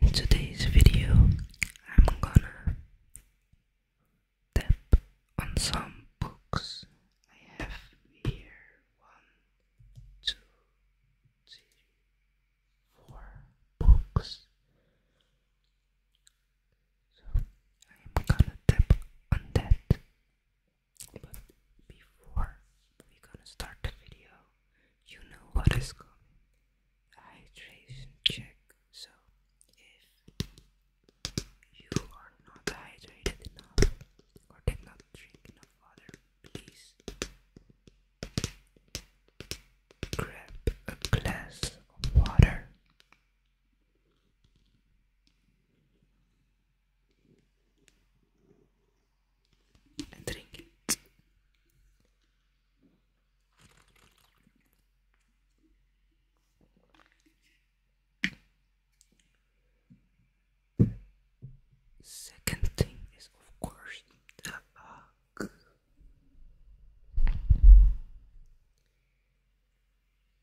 in today's video I'm gonna tap on some books I have here one two three four books so I'm gonna tap on that but before we gonna start the video, you know what is coming. Hydration check. So if you are not hydrated enough or did not drink enough water, please grab a glass of water drink it. Second thing is, of course, the hug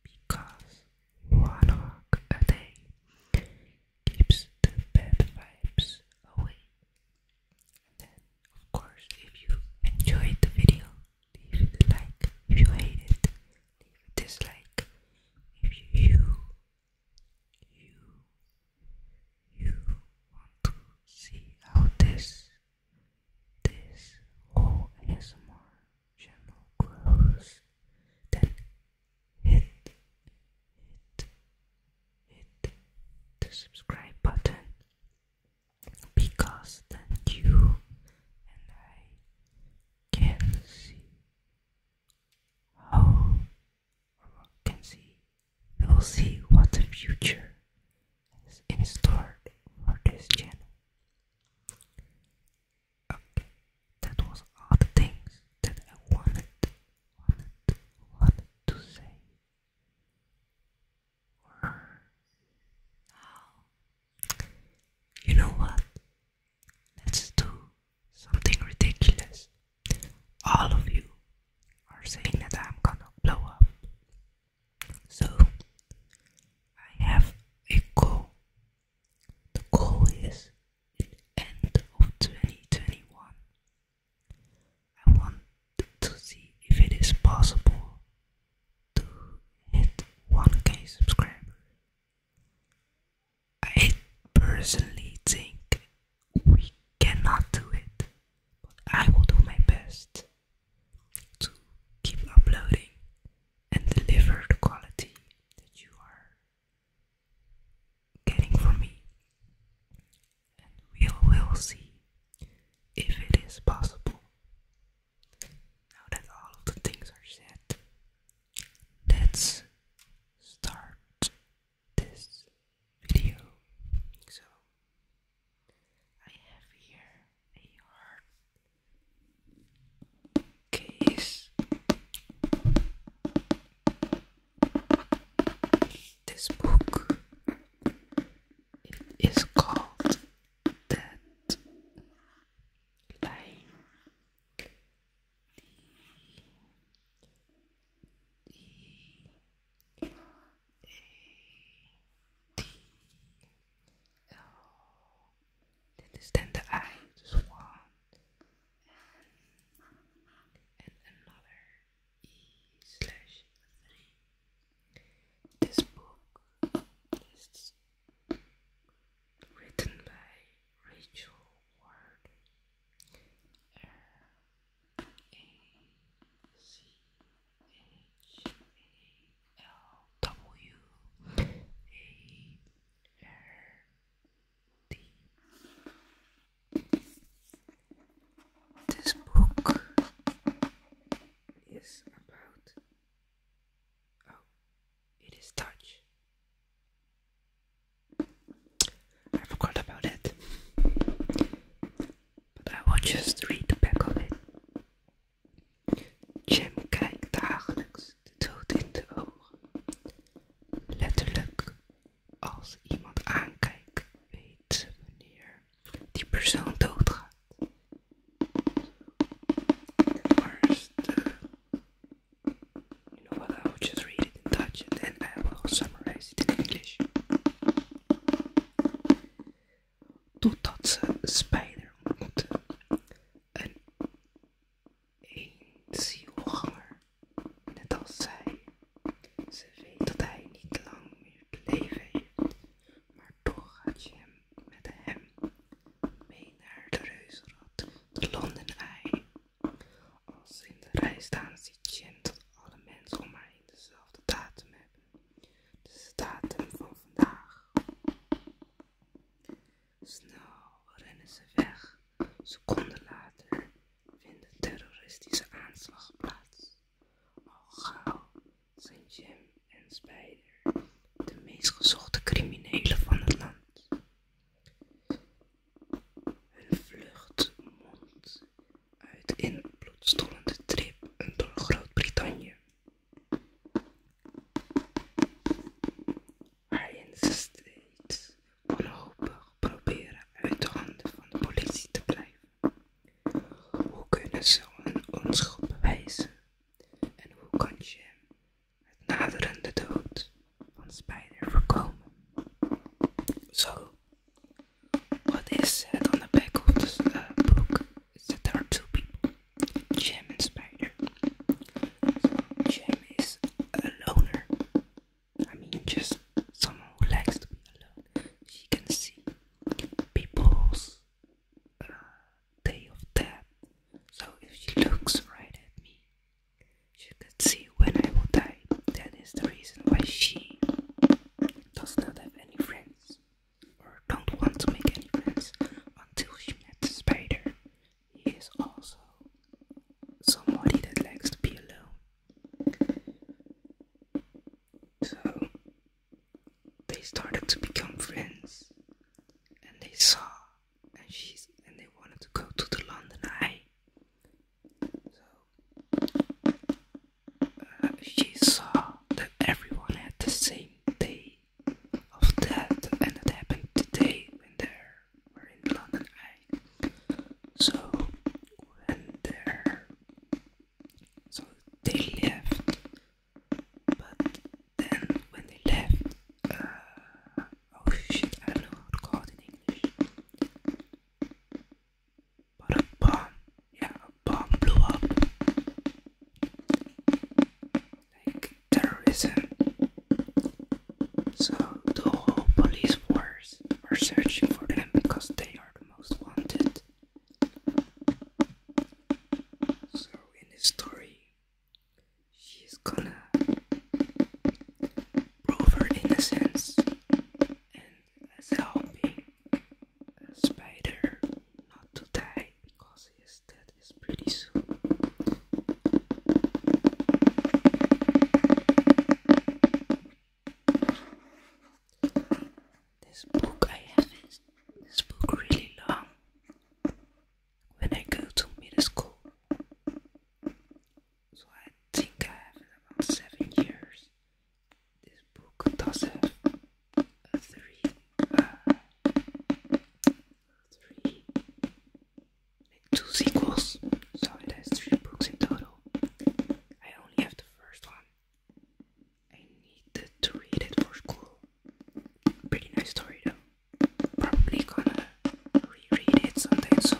because one hog a day keeps the bad vibes away. And of course, if you enjoyed the video, leave a like. If you hate leave a dislike. If you you you, want to see how this this whole ASMR general close then hit hit hit the subscribe button because then you and I can see how or can see we will see what the future is in store for this channel. Okay, that was all the things that I wanted, wanted, wanted to say. now, you know what? Let's do something ridiculous. All of you are saying that I'm gonna blow up. So I have a goal the goal is in the end of 2021. I want to see if it is possible to hit 1k subscriber. I personally think we cannot do it, but I will do my best to keep uploading and deliver the quality that you are getting from me. And we will we'll see if it is possible. Now that all of the things are said, let's start this video. So, I have here a heart this book is called that line this is then the eye, this one, and, another E This book is written by Rachel Ward. R A C H A L W A this book is about. Oh, it is Dutch. I forgot about it. But I will just read the back of it. Jim kijkt dagelijks de dood in de ogen. Letterlijk, als iemand aankijkt, weet wanneer die persoon doodgaat. Maar You know what? I will just read it in Dutch and then I will summarize it in English. Totdat ze een spijder Een één zielganger, net als zij. Ze weet dat hij niet lang meer te leven maar toch gaat je hem met hem mee naar de reuzenrad, de London Als ze in de rij staan, ziet Jim dat alle mensen om haar dezelfde datum hebben. de datum van vandaag. Snel rennen ze weg. Seconden later vinden terroristische aanslag plaats. Al gauw zijn Jim en Spider de meest gezochte criminelen van het land. Hun vlucht mondt uit in een bloedstollende trip door Groot-Brittannië. Hij ze steeds wanhopig proberen uit de handen van de politie te blijven. Hoe kunnen ze hun onschuld bewijzen? En hoe kan je het naderende dood van Spider voorkomen? Zo, wat is het aan de back of de boek? there are two people, Jim and Spider. So is a loner. I mean, just someone who likes to be alone. She can see people's uh, day of death. So if she looks right at me, she could see when I will die. That is the reason why she does not have any friends or don't want to make any friends until she met the spider. He is also somebody that likes to be alone. So they started to become friends and they saw and she's and they wanted to go to the London Eye. So uh, she saw that everyone had the same day of that, and it happened today when they were in London So when they so they left, but then when they left, uh, oh shit, I don't know how to call it in English. But a bomb, yeah, a bomb blew up like terrorism. So the whole police force are searching for them because they are the most wanted. So in this story, she's gonna prove her innocence and as helping spider not to die because his death is pretty soon. This book I have is this book really long. When I go to middle school, so I think I have about seven years. This book does not Two sequels. So it has three books in total. I only have the first one. I needed to read it for school. Pretty nice story though. Probably gonna reread it someday. soon.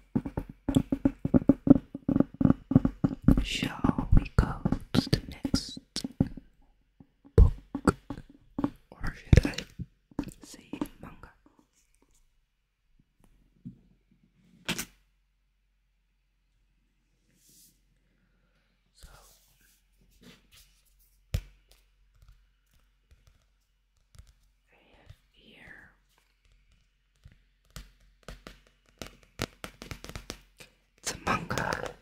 Shall we go to the next book? Or should I say manga? So here The manga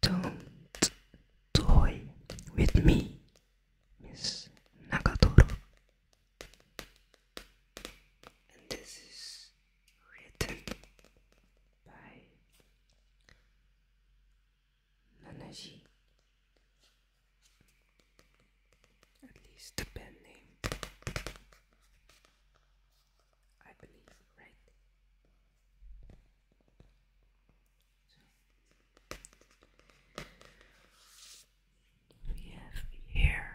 Don't toy with me, Miss Nagatoro. And this is written by Nanaji At least the pen name. I believe, right? we have here.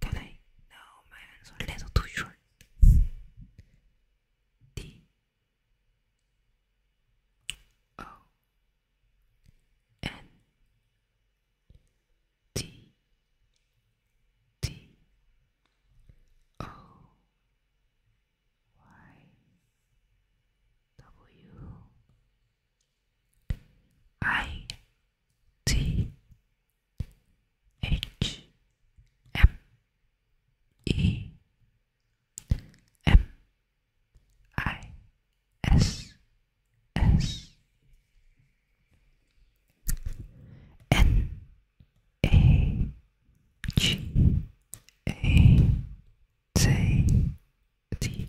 can I? No, my hands are a little too short. D O N T T O Y W I T H M E M I S S N A G A T T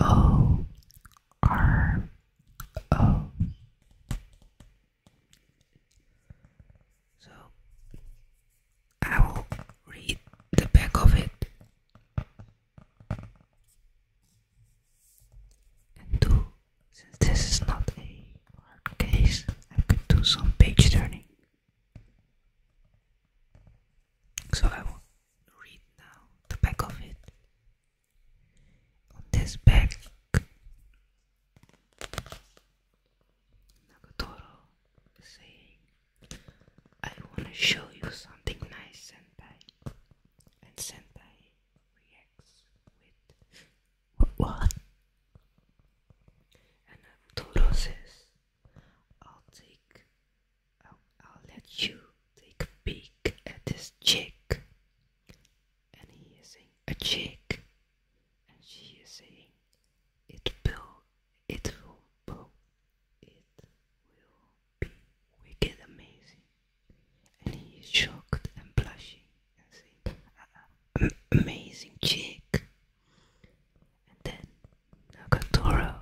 O R O I will read the back of it and do since this is not a hard case I could do some page turning so I will read now the back of it on this back Nagatoro is saying I wanna show you something nice, and Senpai. And Senpai reacts with what? And Toro says, I'll take, I'll, I'll let you take a peek at this chick. And he is saying, a chick. And she is saying, it will, it will both it will be wicked amazing. And he is shocked and blushing and saying, uh, Amazing chick. And then Nagatoro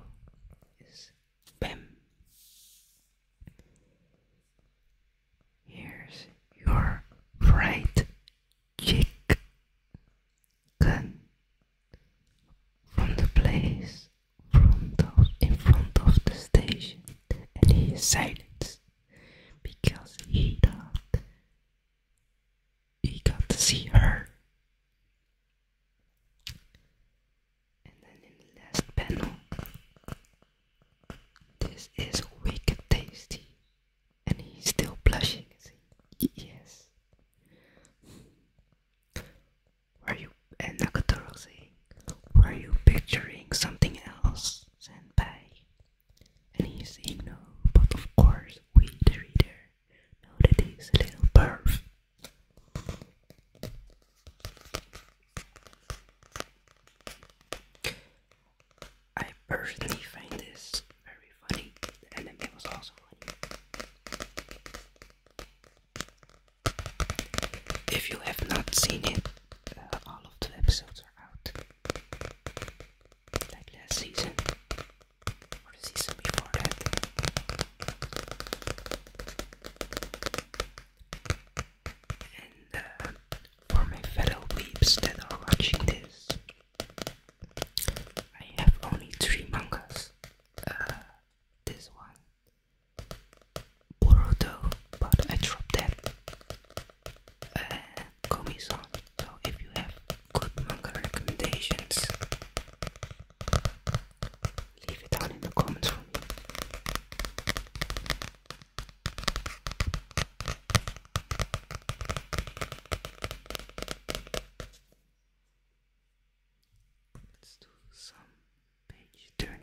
is bam. Here's your right chick from the place in front of the station and he is because he thought he got to see her. And then in the last panel, this is wicked tasty, and he's still blushing. Yes. Are you and eh, Nakatoro saying, Were you picturing something else, Senpai? And he's saying no, but of course we the reader know that he's a little perv. I personally find this very funny. The anime was also funny. If you have not seen it, uh, all of the episodes are out. Like last season, or the season before that. And uh, for my fellow weeps that are watching this, I have only three mangas uh, this one Boruto but I dropped that uh, Komi-san so if you have good manga recommendations leave it down in the comments for Let's do some page turning.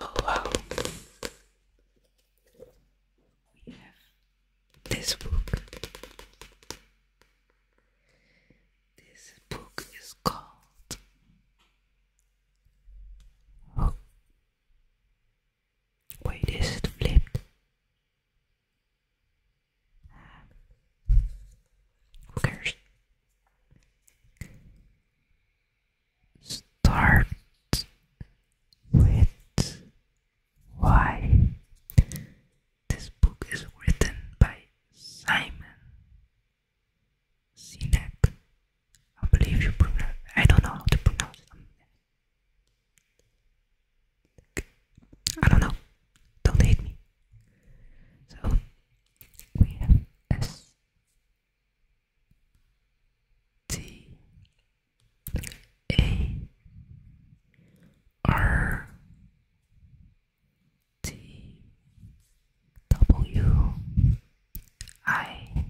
oh wow, we have this book. This book is called Wait, is it flipped? Who cares? Start with why. This book is written by Simon Sinek. I believe you pronounce. I don't know how to pronounce I don't know. Don't hate me. So we have S T A R T W I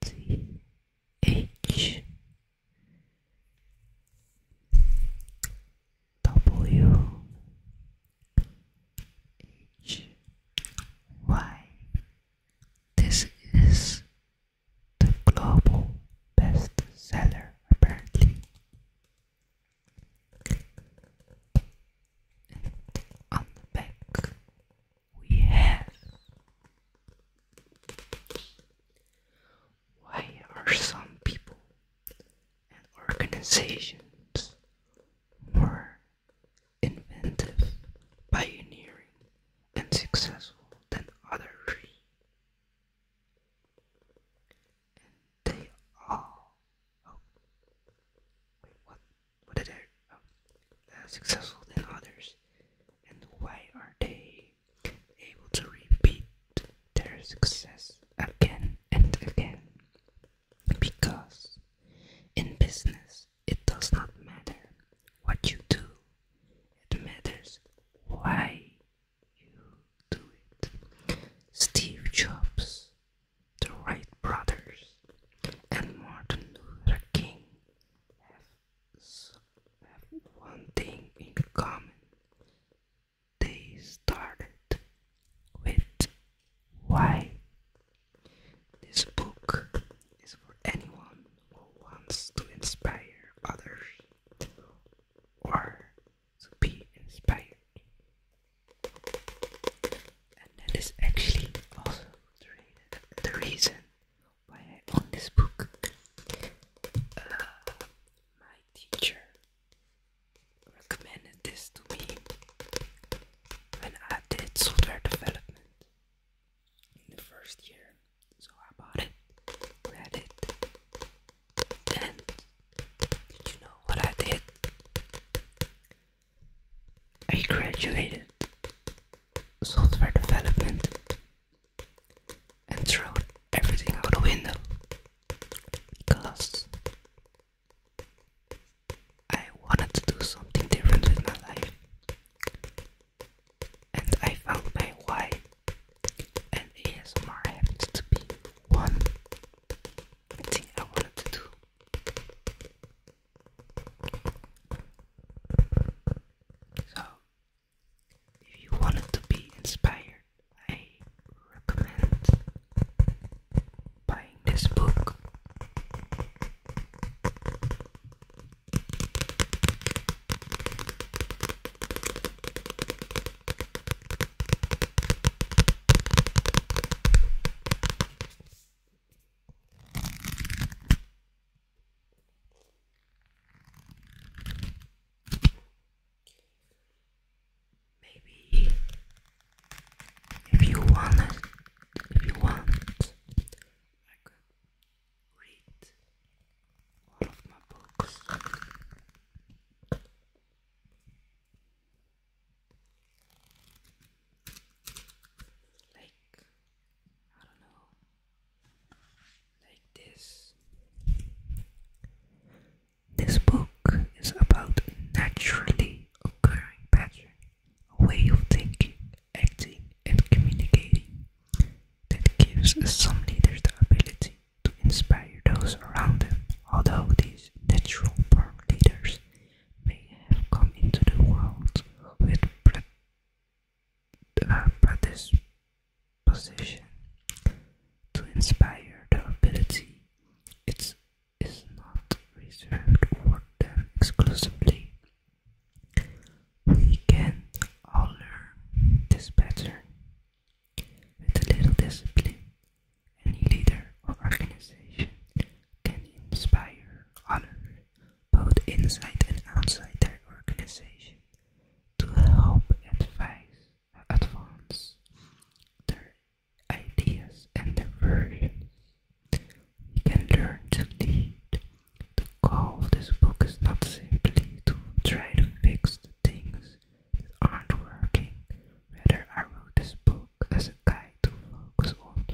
T H W H Y. This is the global bestseller, apparently. on the back, we have why are some people and organizations were inventive, pioneering, and successful than others, and they all oh, wait what what did I oh, successful than others, and why are they able to repeat their success again and again. Because in business, it does not matter what you do, it matters why you do it. Steve Jobs, the Wright brothers, and Martin Luther King have, have one thing in common they started with why. This book is for anyone who wants to inspire others or to be inspired. And that is actually also the reason why I own this book. Uh, my teacher recommended this to me when I did software development in the first year. So I bought it, read it, and did you know what I did? I graduated software development and threw everything out the window because I wanted to do something different with my life, and I found my why. And ASMR happens to be one thing I wanted to do. So, if you wanted to be inspired I recommend buying this book. Maybe if you want if you want, I could read one of my books. Like I don't know, like this. This book is about naturally occurring pattern, a way of thinking, acting, and communicating that gives some leaders the ability to inspire those around them, although these natural born leaders may have come into the world with predisposition uh, position to inspire the ability. It is not reserved for them exclusively. We can all learn this pattern. With a little discipline, any leader or organization can inspire others, both inside and outside their organization, to help advise advance their ideas and their versions. We can learn to lead. The goal of this book is not simply to try to fix the things that aren't working. Rather, I wrote this book as a guide to focus on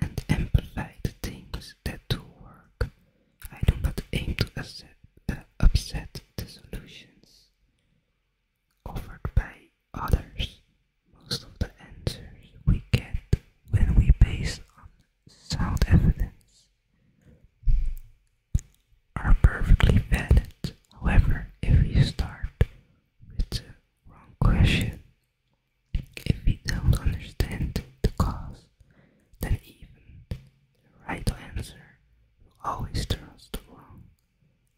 and amplify the things that do work. I do not aim to upset, the solutions offered by others. Most of the answers we get when we base on sound evidence are perfectly valid. However, if we start with the wrong question, if we don't understand the cause else even the right answer always turns to wrong.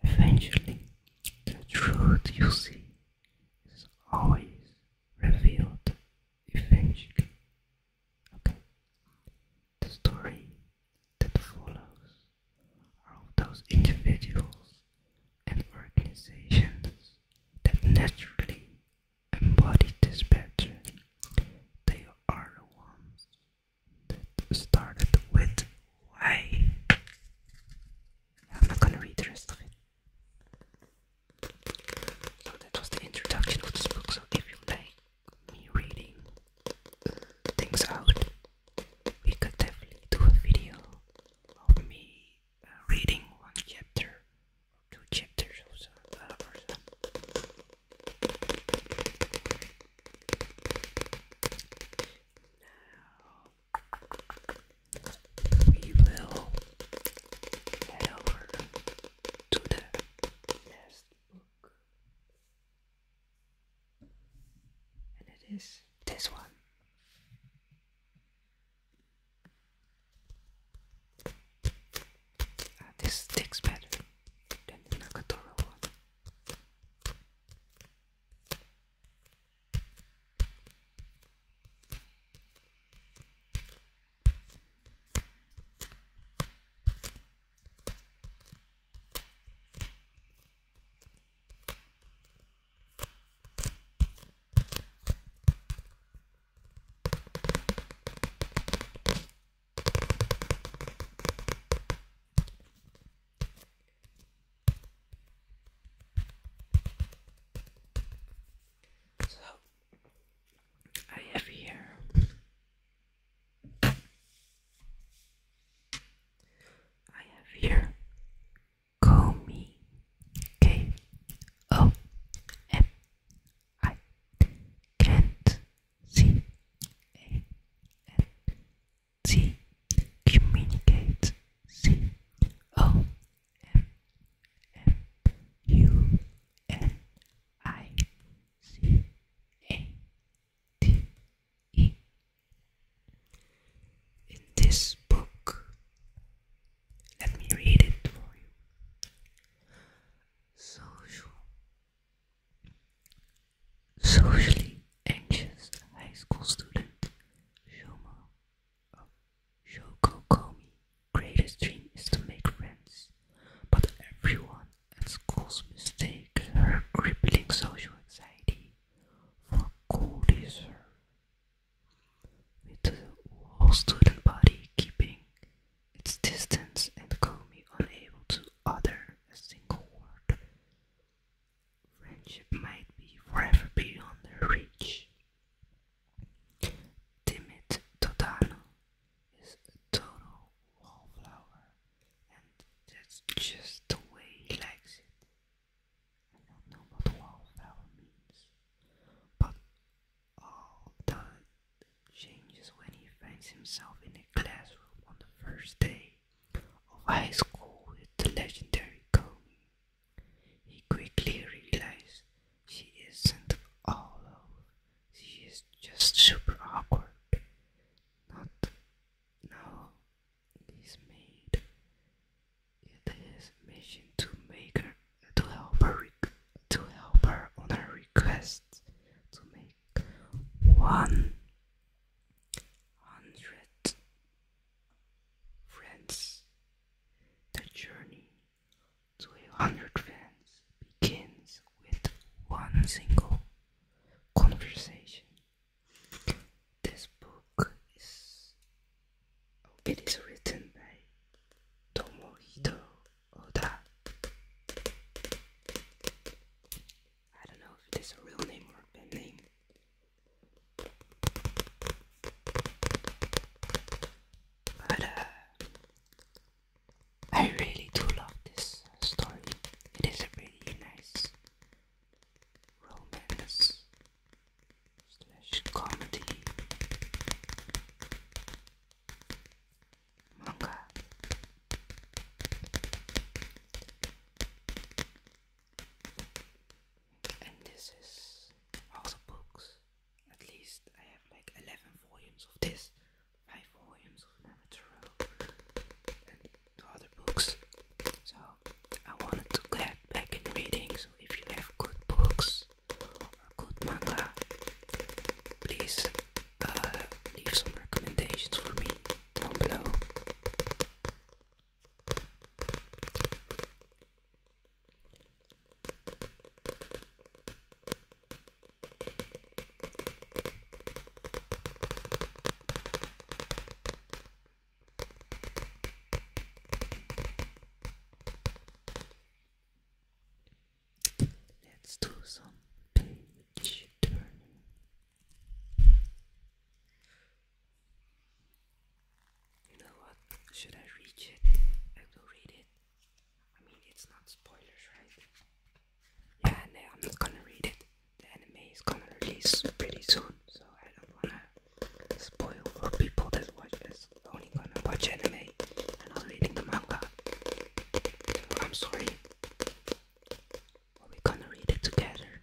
Eventually, the truth you see is always revealed. Eventually, okay. The story that follows are of those individuals and organizations that naturally embody this They are the ones that started with why. am not gonna read the rest of it. So that was the introduction of this book. So if you like me reading things out, we could definitely do a video of me uh, reading one chapter two chapters or we will head over to the last book, and it is this one. Ah, this sticks better than the Nakatoro one. So I have here I have here Komi K O M I can't see A and C communicate C O M M U N I C A T E In this book let me read it for you socially anxious high school student, Shoma of Shoko Greatest dream is to make friends, but everyone at school's mistake her crippling social anxiety for cool With the whole student body keeping its distance and called me unable to utter a single word. Friendship might be forever beyond reach. Timid Totano is a total wallflower, and that's just the way he likes it. I don't know what wallflower means, but all oh, time changes when he finds himself in a classroom on the first day of high school with the legendary Coney. He quickly realizes she isn't all of. she is just super awkward. Not now, he's made it mission to make her to help her to help her on her request to make one hundred friends. The journey to a hundred friends begins with one single conversation. This book is it is written by Tomohito Oda. I don't know if it is a real name or a pen name. But uh, I really do love this story. It is a really nice romance slash comedy and this is also books. At least I have like 11 volumes of this, 5 volumes of Namatoro, and other books. So I wanted to get back in reading. So if you have good books good manga, please uh, leave some recommendations for me down below. Let's do some page turning. You know what? Should I reach it? I will read it. I mean, it's not spoilers, right? Yeah, and I'm not gonna read it. The anime is gonna release pretty soon, so I don't wanna spoil for people that watch this only gonna watch anime and not reading the manga. I'm sorry. we're gonna read it together.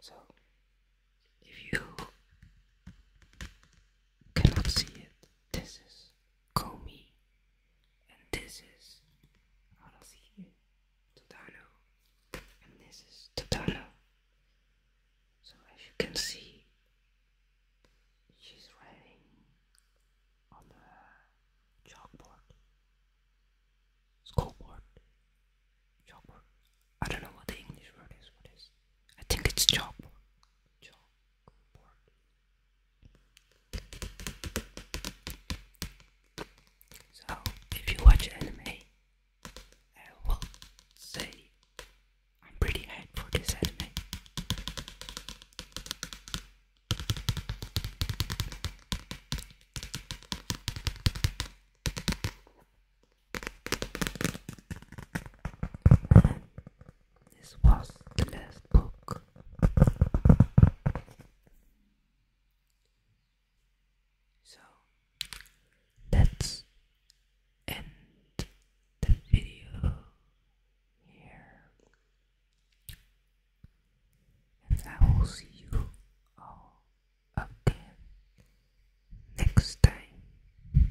So, if you cannot see it, this is Comey, and this is Arasihi Todano, and this is Todano. So as you can see, she's writing on the chalkboard, schoolboard, chalkboard. I don't know what the English word is. What is? I think it's chalkboard. Chalk. So, if you watch anime, I will say I'm pretty hyped for this anime. This was the last book. So let's end the video here. And I will see you all again next time.